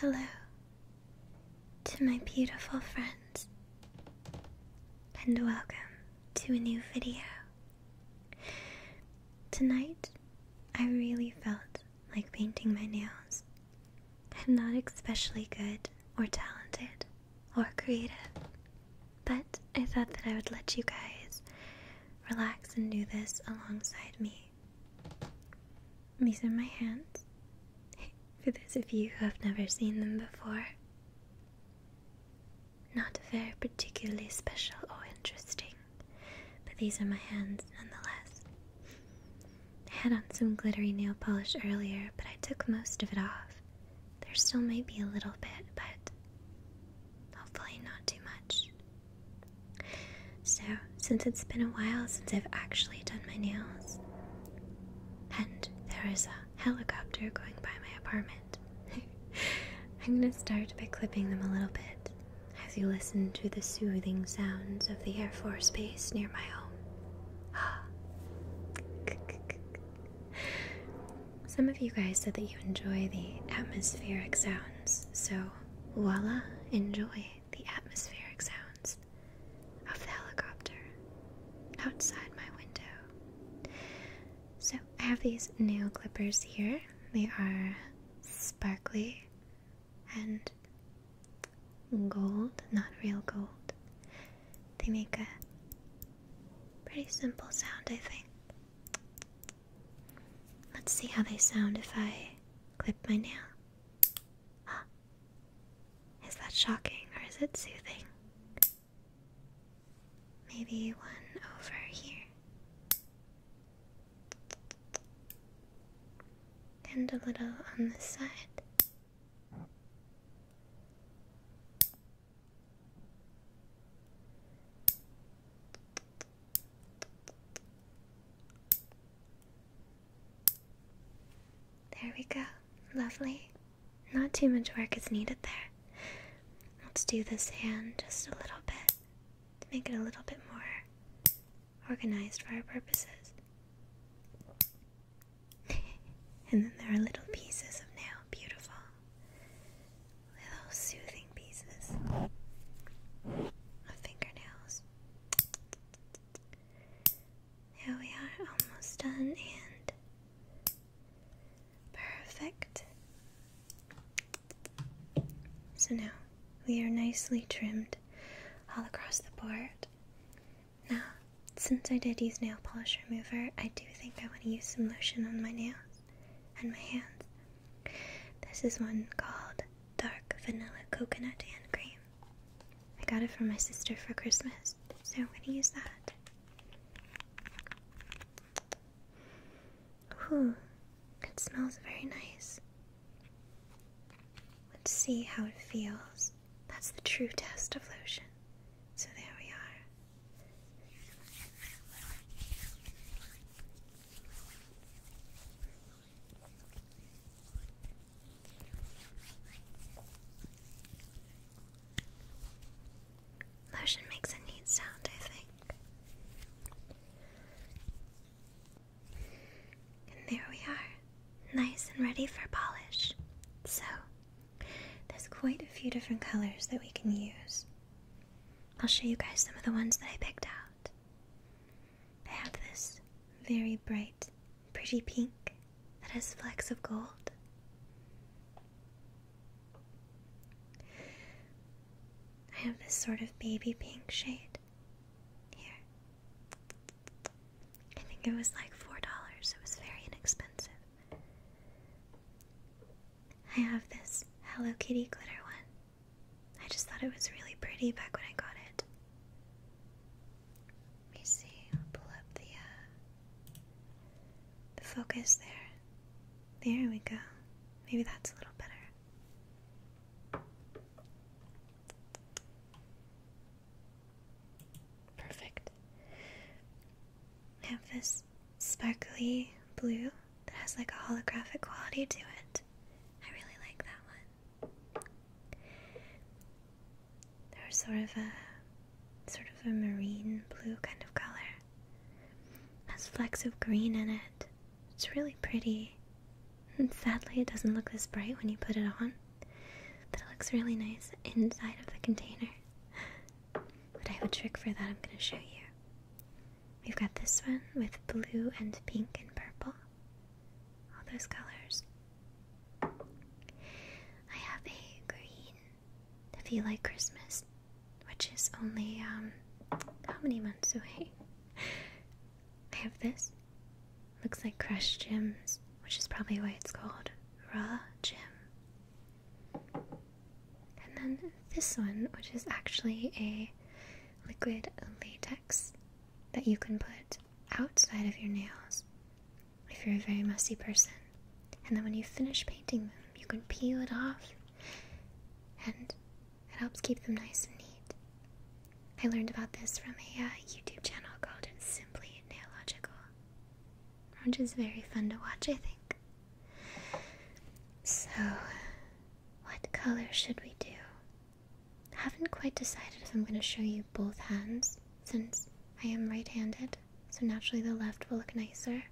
Hello to my beautiful friends, and welcome to a new video. Tonight, I really felt like painting my nails, I'm not especially good or talented or creative, but I thought that I would let you guys relax and do this alongside me. These are my hands, for those of you who have never seen them before. Not very particularly special or interesting, but these are my hands nonetheless. I had on some glittery nail polish earlier, but I took most of it off. There still may be a little bit, but hopefully not too much. So, since it's been a while since I've actually done my nails, and there is a helicopter going by my apartment, I'm gonna start by clipping them a little bit as you listen to the soothing sounds of the Air Force Base near my home. Some of you guys said that you enjoy the atmospheric sounds, so voila, enjoy the atmospheric sounds of the helicopter outside my window. So I have these nail clippers here. They are sparkly and gold, not real gold. They make a pretty simple sound, I think. Let's see how they sound if I clip my nail. Is that shocking or is it soothing? Maybe one over here. And a little on the side. There we go. Lovely. Not too much work is needed there. Let's do this hand just a little bit to make it a little bit more organized for our purposes and then there are little pieces of nail, beautiful. Little soothing pieces of fingernails. There we are, almost done and perfect. So now we are nicely trimmed all across the board. Now, since I did use nail polish remover, I do think I want to use some lotion on my nails and my hands. This is one called Dark Vanilla Coconut Hand Cream. I got it from my sister for Christmas, so I'm going to use that. Ooh, it smells very nice. Let's see how it feels. That's the true test of lotion. So there we are. Lotion makes a neat sound, I think. And there we are nice and ready for polish. So, there's quite a few different colors that we can use. I'll show you guys some of the ones that I picked out. I have this very bright, pretty pink that has flecks of gold. I have this sort of baby pink shade here. I think it was like $4. It was very inexpensive. I have this Hello Kitty glitter one. I just thought it was really pretty back when I got it. Let me see. pull up the uh, the focus there. There we go. Maybe that's a little better. Perfect. I have this sparkly blue that has like a holographic quality to it. I really like that one. There's sort of a sort of a marine blue kind of color. has flecks of green in it. It's really pretty. And sadly, it doesn't look this bright when you put it on. That looks really nice inside of the container. But I have a trick for that I'm going to show you. We've got this one with blue and pink and purple. All those colors. I have a green if you like Christmas, which is only, um, how many months away? I have this. Looks like crushed Gems, which is probably why it's called Raw Gem. And then this one, which is actually a liquid latex that you can put outside of your nails if you're a very messy person. And then when you finish painting them, you can peel it off and it helps keep them nice and neat. I learned about this from a uh, YouTube channel called Simply Nail Orange is very fun to watch, I think. So, what color should we do? I haven't quite decided if I'm going to show you both hands since I am right handed, so naturally the left will look nicer,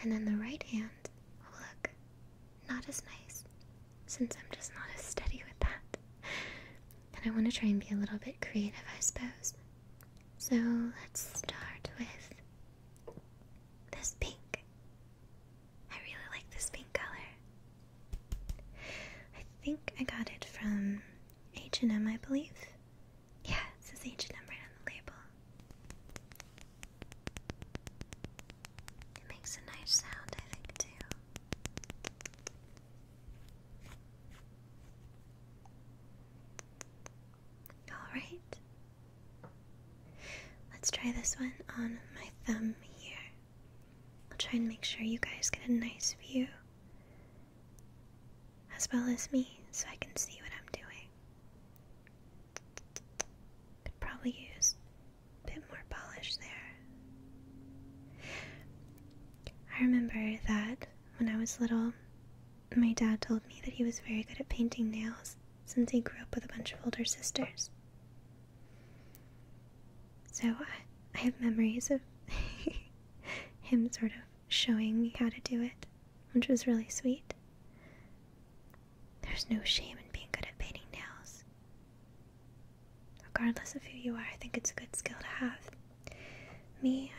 and then the right hand will look not as nice since I'm just not as steady with that. And I want to try and be a little bit creative, I suppose. So let's start with this pink. I really like this pink color. I think I got it from H&M, I believe. Yeah, says H&M right on the label. It makes a nice sound, I think, too. Alright. Let's try this one on my thumb here. I'll try and make sure you guys get a nice view as well as me so I can see what I'm doing. Could probably use a bit more polish there. I remember that when I was little, my dad told me that he was very good at painting nails since he grew up with a bunch of older sisters. So I, have memories of him sort of showing me how to do it, which was really sweet. There's no shame in being good at painting nails. Regardless of who you are, I think it's a good skill to have. Me,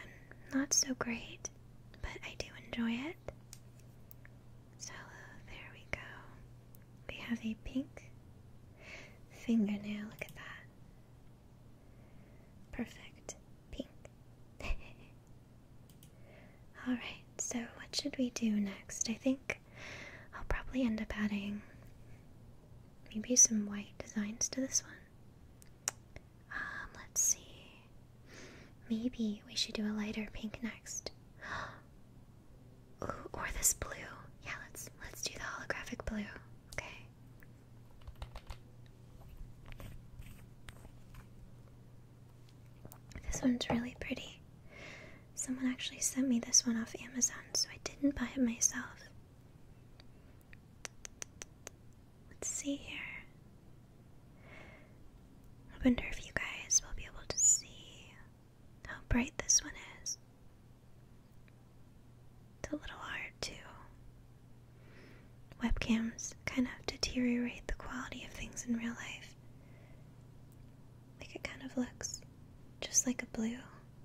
I'm not so great, but I do enjoy it. So uh, there we go. We have a pink fingernail. Look at that. Perfect. Pink. Alright, so what should we do next? I think I'll probably end up adding maybe some white designs to this one. Um, let's see. Maybe we should do a lighter pink next. Ooh, or this blue. Yeah, let's let's do the holographic blue. Okay. This one's really pretty. Someone actually sent me this one off Amazon, so I didn't buy it myself. Let's see here. I wonder if you guys will be able to see how bright this one is. It's a little hard to. Webcams kind of deteriorate the quality of things in real life. Like it kind of looks just like a blue,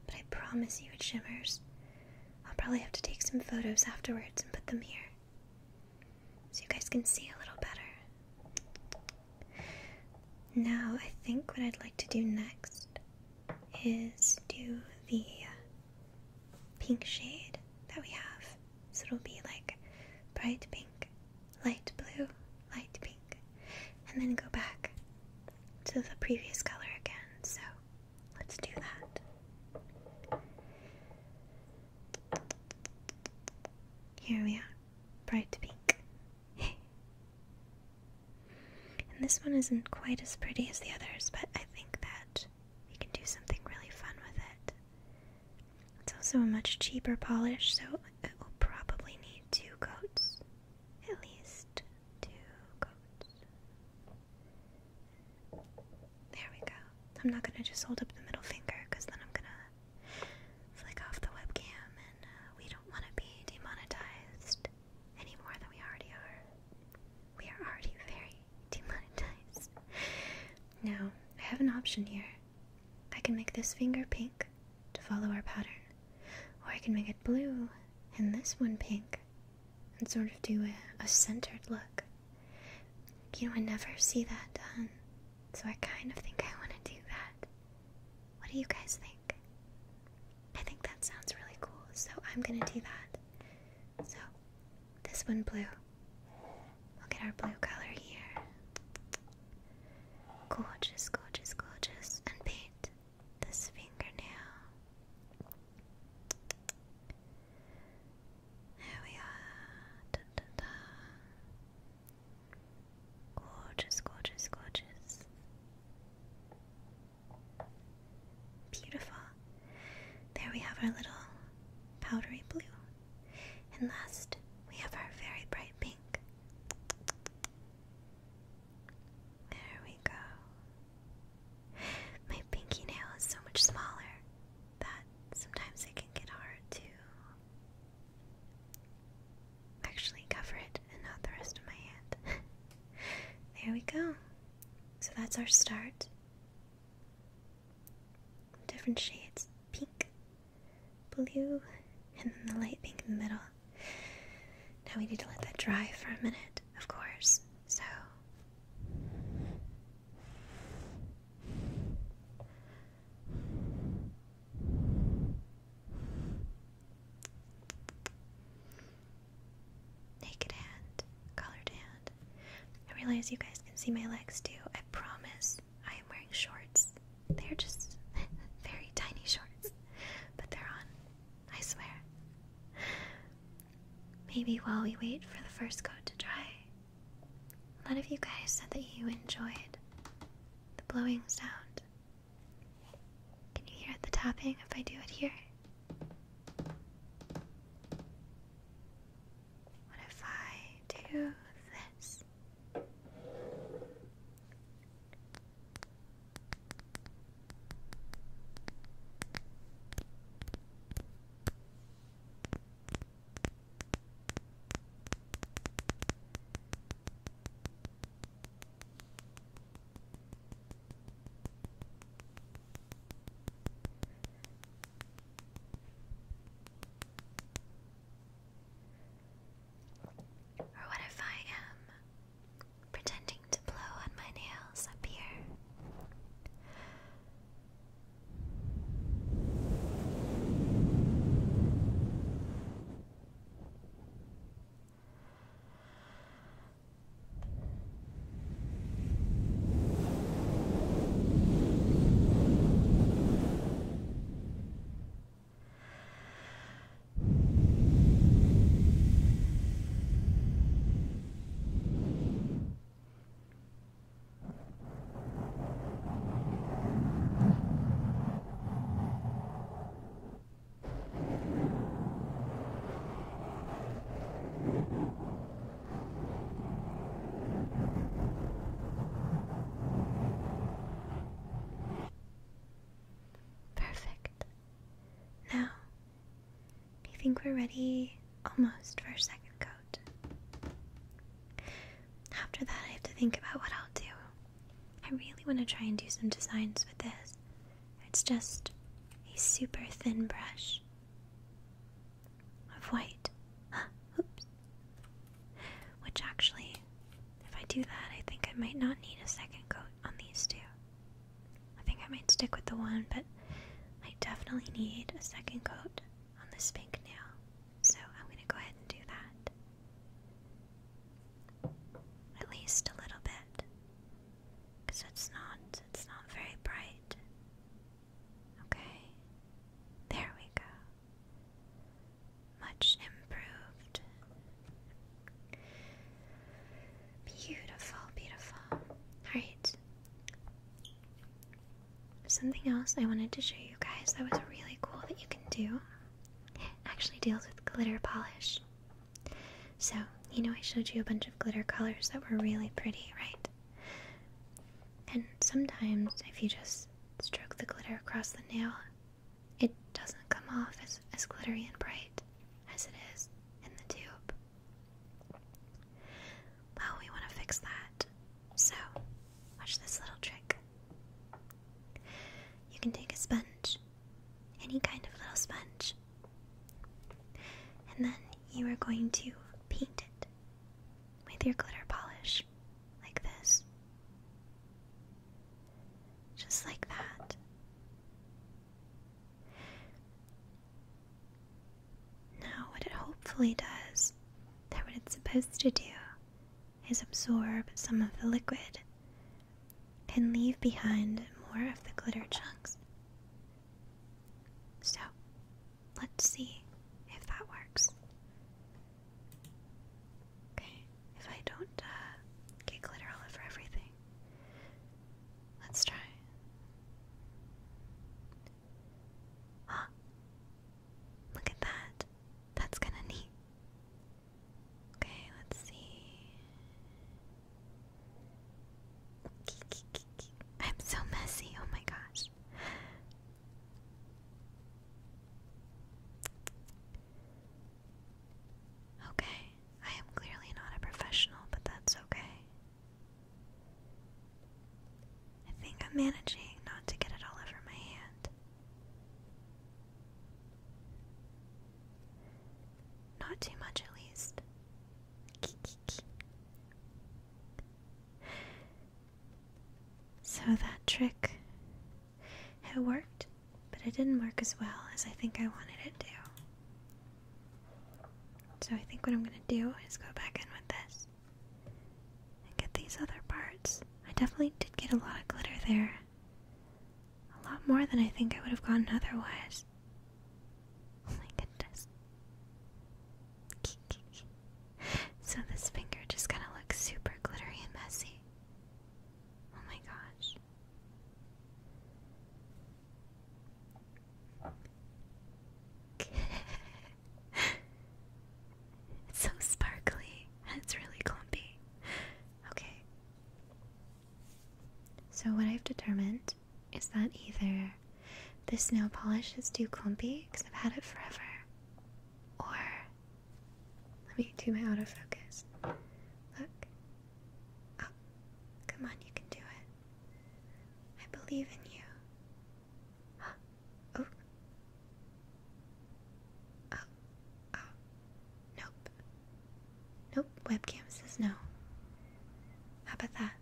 but I promise you it shimmers. I'll probably have to take some photos afterwards and put them here so you guys can see a little better. Now, I think what I'd like to do next is do the uh, pink shade that we have. So it'll be like bright pink, light blue, light pink, and then go back to the previous color again. So Let's do that. Here we are, bright pink. and this one isn't quite as pretty as the others, but I think that we can do something really fun with it. It's also a much cheaper polish, so it will probably need two coats at least two coats. There we go. I'm not gonna just hold up the middle finger because then I'm gonna flick off the webcam and uh, we don't want to be demonetized any more than we already are. We are already very demonetized. Now, I have an option here. I can make this finger pink to follow our pattern, or I can make it blue and this one pink and sort of do a, centered look. You know, I never see that done, so I kind of think I want to do that. What do you guys think? I think that sounds really cool, so I'm gonna do that. So, this one blue. We'll get our blue color here. Gorgeous, gorgeous, gorgeous. And paint this fingernail. There we are. Dun, dun, dun. Gorgeous, gorgeous, gorgeous. Beautiful. There we have our little powdery blue. And last, we have our very bright pink. There we go. My pinky nail is so much smaller that sometimes it can get hard to actually cover it and not the rest of my hand. there we go. So that's our start. Different shades pink, blue, and then the light pink in the middle. Now we need to let that dry for a minute of course, so. Naked hand, collared hand. I realize you guys can see my legs too. I promise I am wearing shorts. They're just very tiny shorts, but they're on. I swear. Maybe while we wait for the first coat to dry. A lot of you guys said that you enjoyed the blowing sound. Can you hear the tapping if I do it here? What if I do this? Or what if I am um, pretending to blow on my nails up here. Perfect. Now do you think we're ready almost for a second coat? After that, I have to think about what I'll do. I really want to try and do some designs with this. It's just a super thin brush of white. Oops. Which actually, if I do that, I think I might not need a second coat on these two. I think I might stick with the one, but I definitely need a second coat on this pink nail, so I'm going to go ahead and do that. At least a little bit, because it's not, it's not very bright. Okay, there we go. Much improved. Beautiful, beautiful. Alright, Something else I wanted to show you guys that was really cool that you can do actually deals with glitter polish. So, you know, I showed you a bunch of glitter colors that were really pretty, right? And sometimes, if you just stroke the glitter across the nail, it doesn't come off as, as glittery and bright as it is in the tube. Well, we want to fix that. So, watch this little trick. You can take a sponge, any kind of little sponge, and then you are going to paint it with your glitter polish, like this. Just like that. Now, what it hopefully does, that what it's supposed to do, is absorb some of the liquid and leave behind more of the glitter chunks. So, let's see if that works. Okay, if I don't uh, get glitter all over everything, let's try. Huh. Look at that. That's kind of neat. Okay, let's see. I'm so messy. Oh my gosh. Okay, I am clearly not a professional, but that's okay. I think I'm managing not to get it all over my hand. Not too much, at least. So that trick, it worked, but it didn't work as well as I think I wanted it to. So I think what I'm going to do is go back in with this and get these other parts. I definitely did get a lot of glitter there. A lot more than I think I would have gotten otherwise. Oh my goodness. so this finger just kind of looks super glittery and messy. Oh my gosh. it's so sparkly. It's really clumpy. Okay. So, what I've determined is that either this nail polish is too clumpy because I've had it forever, or let me do my autofocus. Look. Oh, come on, you can do it. I believe in you. Oh. Oh. Oh. Nope. Nope. Webcam says no. How about that?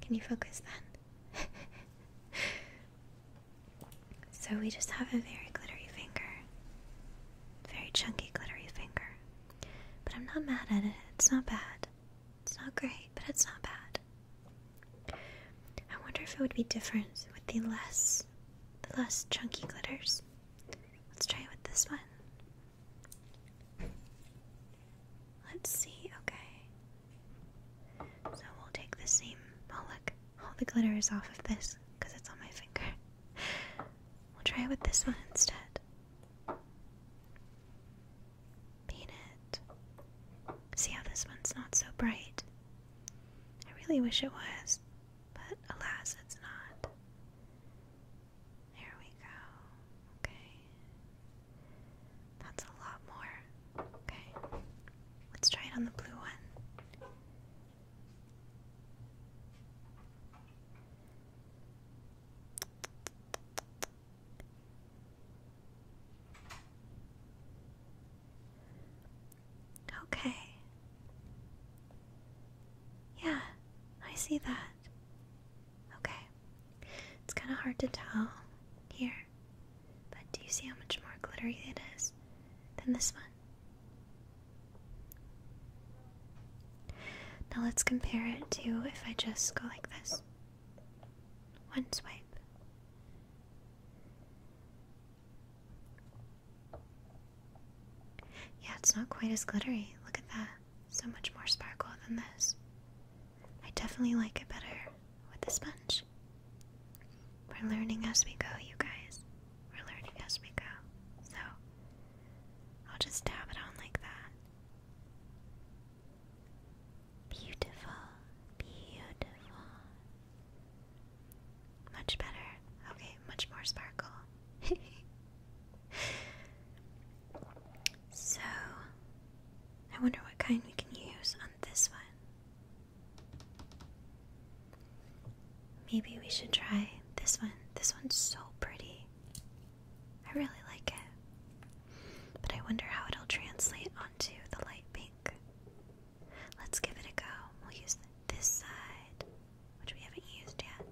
Can you focus then? so we just have a very glittery finger. Very chunky glittery finger. But I'm not mad at it. It's not bad. It's not great, but it's not bad. I wonder if it would be different with the less the less chunky glitters. Let's try it with this one. Let's see, okay. So we'll take the same oh look, all the glitter is off of this because it's on my finger. We'll try it with this one instead. Peanut. See how this one's not so bright? I really wish it was, but alas, it's not. There we go. Okay. That's a lot more. Okay. Let's try it on the blue one. Okay. Yeah, I see that. Okay. It's kind of hard to tell here. But do you see how much more glittery it is than this one? Now let's compare it to if I just go like this. One swipe. Yeah, it's not quite as glittery. Look at that. So much more sparkle than this. I definitely like it better with the sponge. We're learning as we go, you guys. We're learning as we go. So, I'll just dab it on like that. Beautiful, beautiful. Much better. Okay, much more sparkle. so, I wonder what kind we can use on this one. Maybe we should try this one. This one's so pretty. I really like it. But I wonder how it'll translate onto the light pink. Let's give it a go. We'll use this side, which we haven't used yet.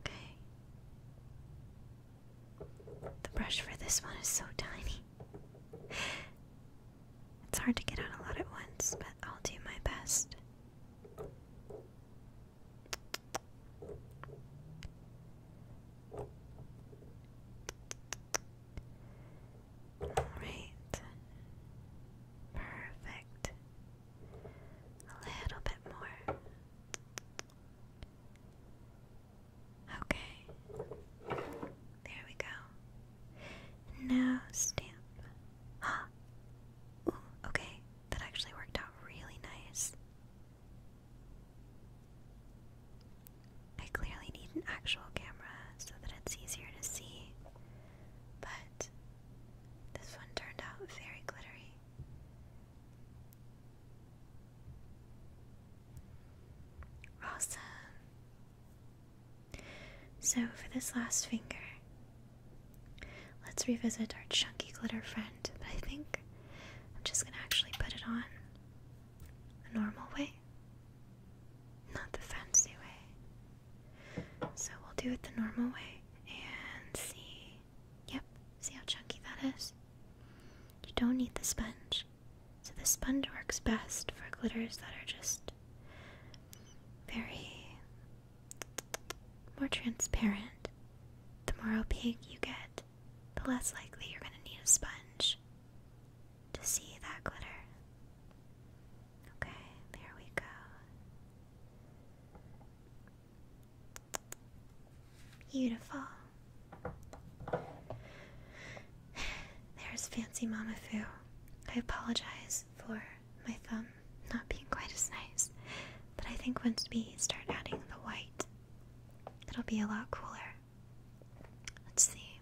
Okay. The brush for this one is so tiny. It's hard to get on a lot at once, but I'll do my best. Alright. Perfect. A little bit more. Okay. There we go. Now stamp. Ah. okay. That actually worked out really nice. I clearly need an actual camera so that it's easier to see, but this one turned out very glittery. Awesome. So, for this last finger, Let's revisit our chunky glitter friend, but I think I'm just gonna actually put it on the normal way, not the fancy way. So we'll do it the normal way and see. Yep, see how chunky that is? You don't need the sponge. So the sponge works best for glitters that are just very more transparent. The more opaque you get, the less likely you're going to need a sponge to see that glitter. Okay, there we go. Beautiful. There's Fancy Mama Foo. I apologize for my thumb not being quite as nice. But I think once we start adding the white, it'll be a lot cooler. Let's see.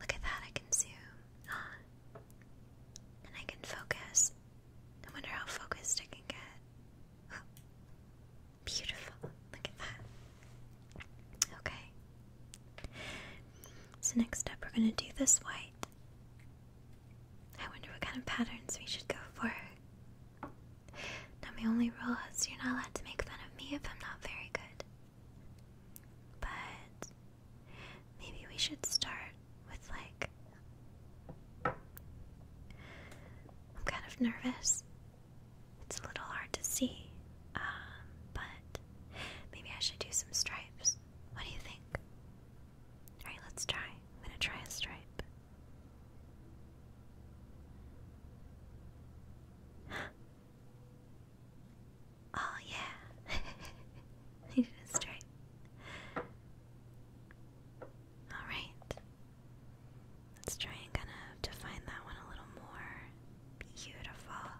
Look at that, I can zoom on. And I can focus. I wonder how focused I can get. beautiful. Look at that. Okay. So, next up, we're going to do this white. I wonder what kind of patterns we should go for. Now, my only rule is you're not allowed to make fun of me if I'm not very good. But maybe we should start with like. I'm kind of nervous. It's a little hard to see, um, but maybe I should do some stripes. What do you think? Alright, let's try. I'm gonna try a stripe. oh, yeah. I did a stripe. Alright. Let's try and kind of define that one a little more. Beautiful.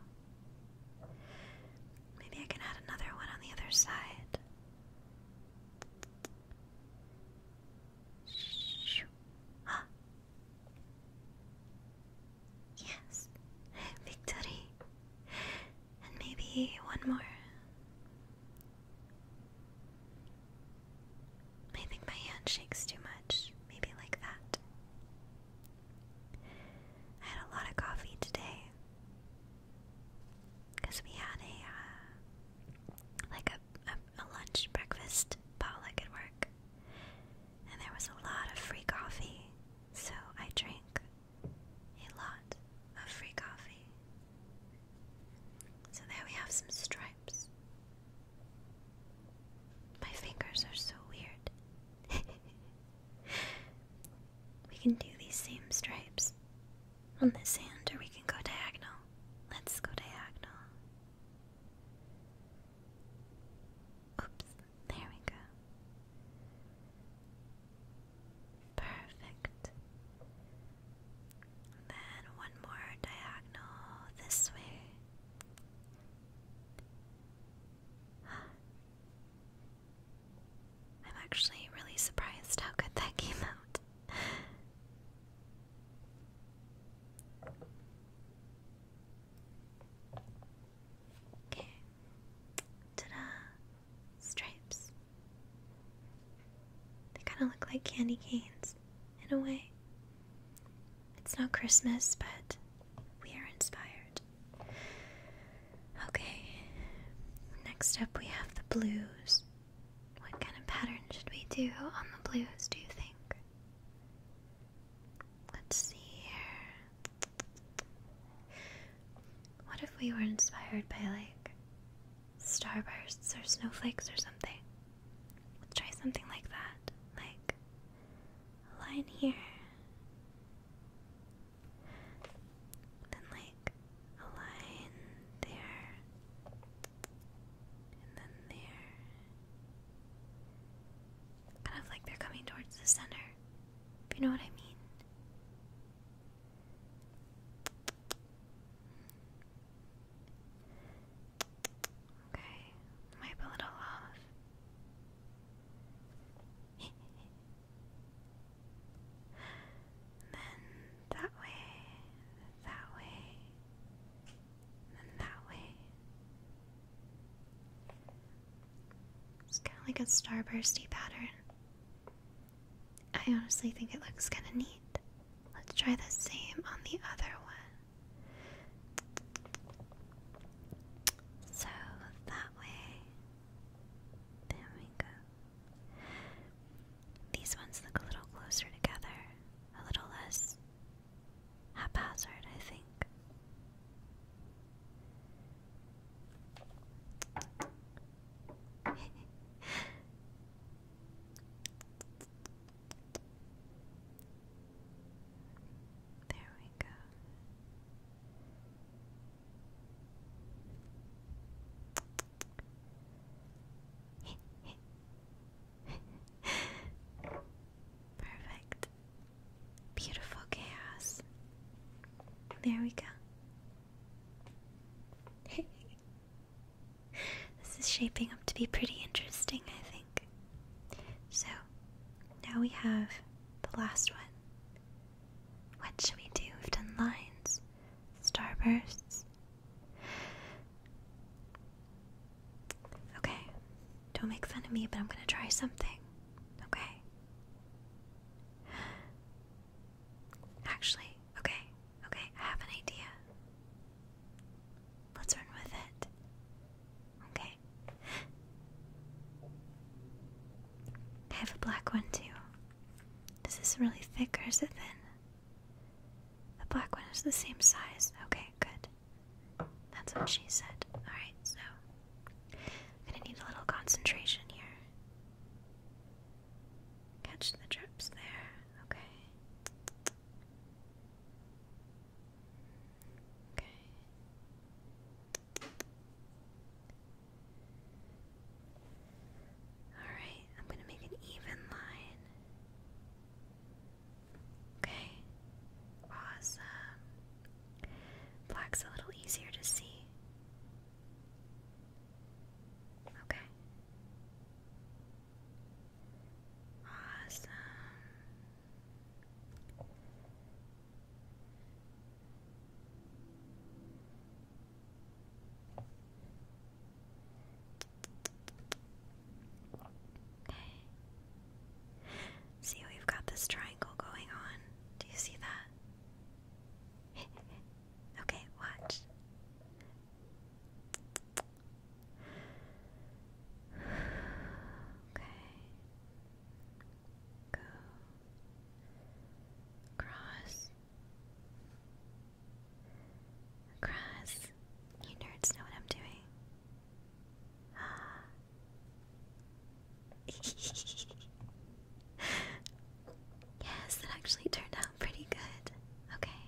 Maybe I can add another one on the other side. Ah. Yes, victory. And maybe one more. I think my hand shakes too much. Maybe like that. I had a lot of coffee today. Because we had a, uh, like a, a, lunch breakfast potluck at work. And there was a lot of free coffee. So I drank a lot of free coffee. So there we have some stripes. My fingers are so weird. We can do these same stripes on this hand, or we can go diagonal. Let's go diagonal. Oops, there we go. Perfect. then one more diagonal this way. I'm actually really surprised how good that came out. Okay. Ta da! Stripes. They kind of look like candy canes in a way. It's not Christmas, but we are inspired. Okay, next up we have the blues. What kind of pattern should we do on the blues, do you think? Let's see here. What if we were inspired by like starbursts or snowflakes or something? Let's try something like that. Like line here, then like a line there and then there. Kind of like they're coming towards the center. If you know what I mean. Okay, might be a little off. then that way, that way, then that way. It's kind of like a starbursty pattern. I honestly think it looks kind of neat. Let's try the same on the other one. So that way. There we go. These ones look a little closer together, a little less haphazard, I think. There we go. Perfect. Beautiful chaos. There we go. this is shaping up to be pretty interesting, I think. So, now we have the last one what should we do? with have lines, starbursts. Okay, don't make fun of me, but I'm gonna try something. Okay. Actually, okay, okay, I have an idea. Let's run with it. Okay. I have a black one too. Is this really thick or is it thin? The black one is the same size. Okay, good. That's what she said. Alright, so I'm gonna need a little concentration here. Catch the drips there. Okay. Okay. Alright, I'm going to make an even line. Okay, awesome. Black's a little easier to see. Okay. Awesome. See, we've got this triangle going on. Do you see that? okay, watch. okay. Go. Cross. Cross, you nerds know what I'm doing. Ah. yes, that actually turned out pretty good. Okay.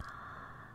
Ah.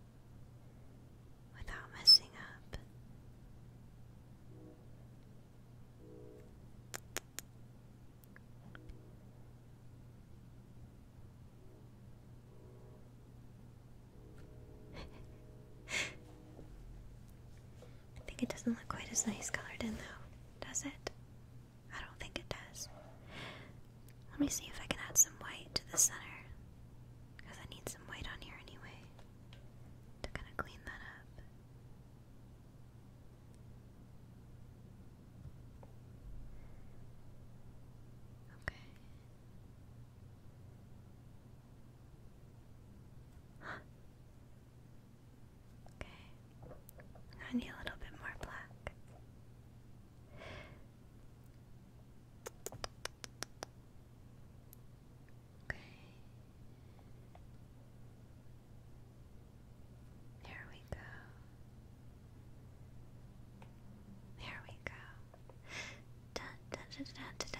without messing up. I think it doesn't look quite as nice colored in, though, does it? I don't think it does. Let me see if I can add some white to the center. Because I need some white on here anyway. To kind of clean that up. Okay. Okay. I need a little bit more black. Okay. There we go. There we go. da da da da da.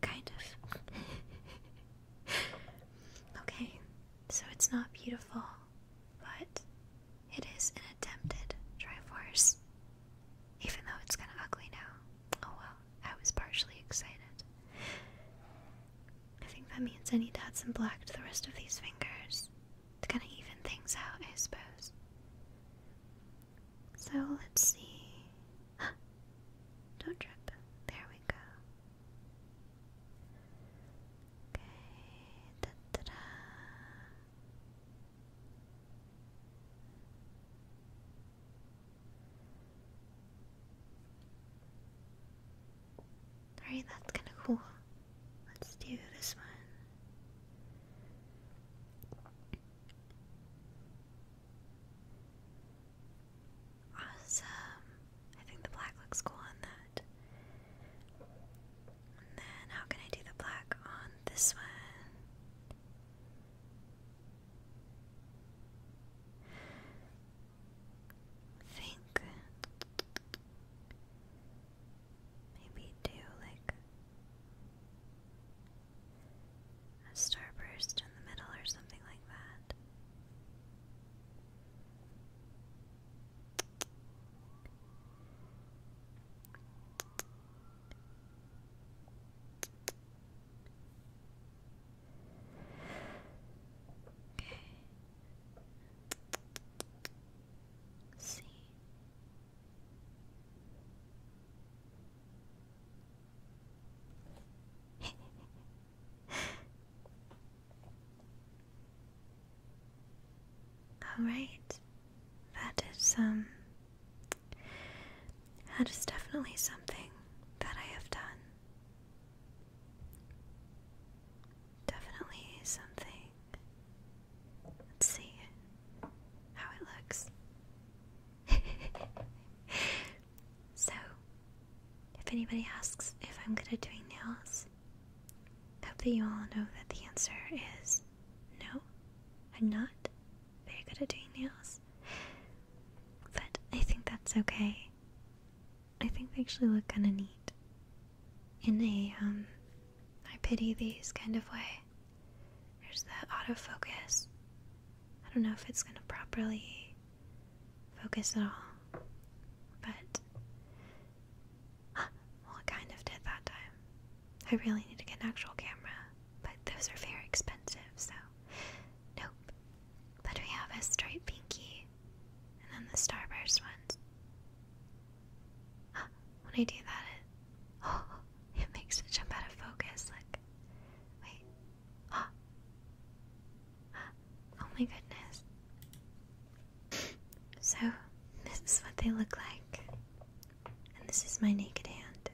Kind of. okay, so it's not beautiful, but it is an attempted Triforce. Even though it's kinda ugly now. Oh well, I was partially excited. I think that means I need to add some black to the rest of these fingers to kinda even things out, I suppose. So let's see. Don't trip. There we go. Okay. Alright, that's kinda cool. Let's do this one. Awesome. I think the black looks cool on that then how can I do the black on this one? think maybe do like a starburst in the middle or something like that. C All right that is um that is definitely something that I have done. Definitely something. Let's see how it looks. so, if anybody asks if I'm good at doing nails, hope you all know that the answer is no, I'm not very good at doing nails. But I think that's okay. I think they actually look kinda neat. In a, um, I pity these kind of way. There's that autofocus. I don't know if it's gonna properly focus at all. But well, I kind of did that time. I really need to get an actual camera, but those are very expensive, so nope. But we have a striped pinky, and then the starburst ones. When I do that, it, oh, it makes it jump out of focus. Like, wait, oh, oh my goodness. So, this is what they look like and this is my naked hand.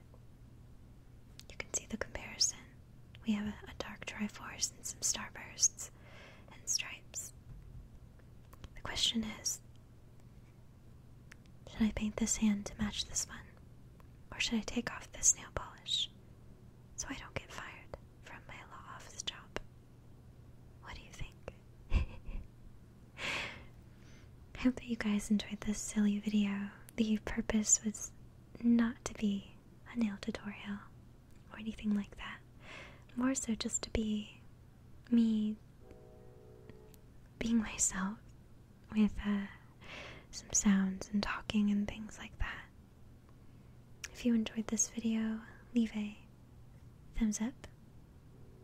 You can see the comparison. We have a, a dark Triforce and some starbursts and stripes. The question is should I paint this hand to match this one? Or should I take off the nail polish so I don't get fired from my law office job? What do you think? I hope that you guys enjoyed this silly video. The purpose was not to be a nail tutorial or anything like that. More so just to be me being myself with uh, some sounds and talking and things like that. If you enjoyed this video, leave a thumbs up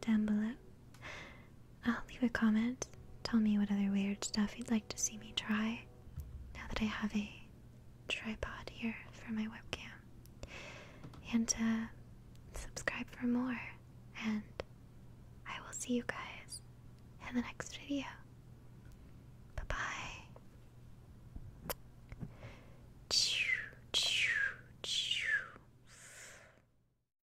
down below I'll leave a comment. Tell me what other weird stuff you'd like to see me try now that I have a tripod here for my webcam. And uh, subscribe for more. And I will see you guys in the next video. Bye bye.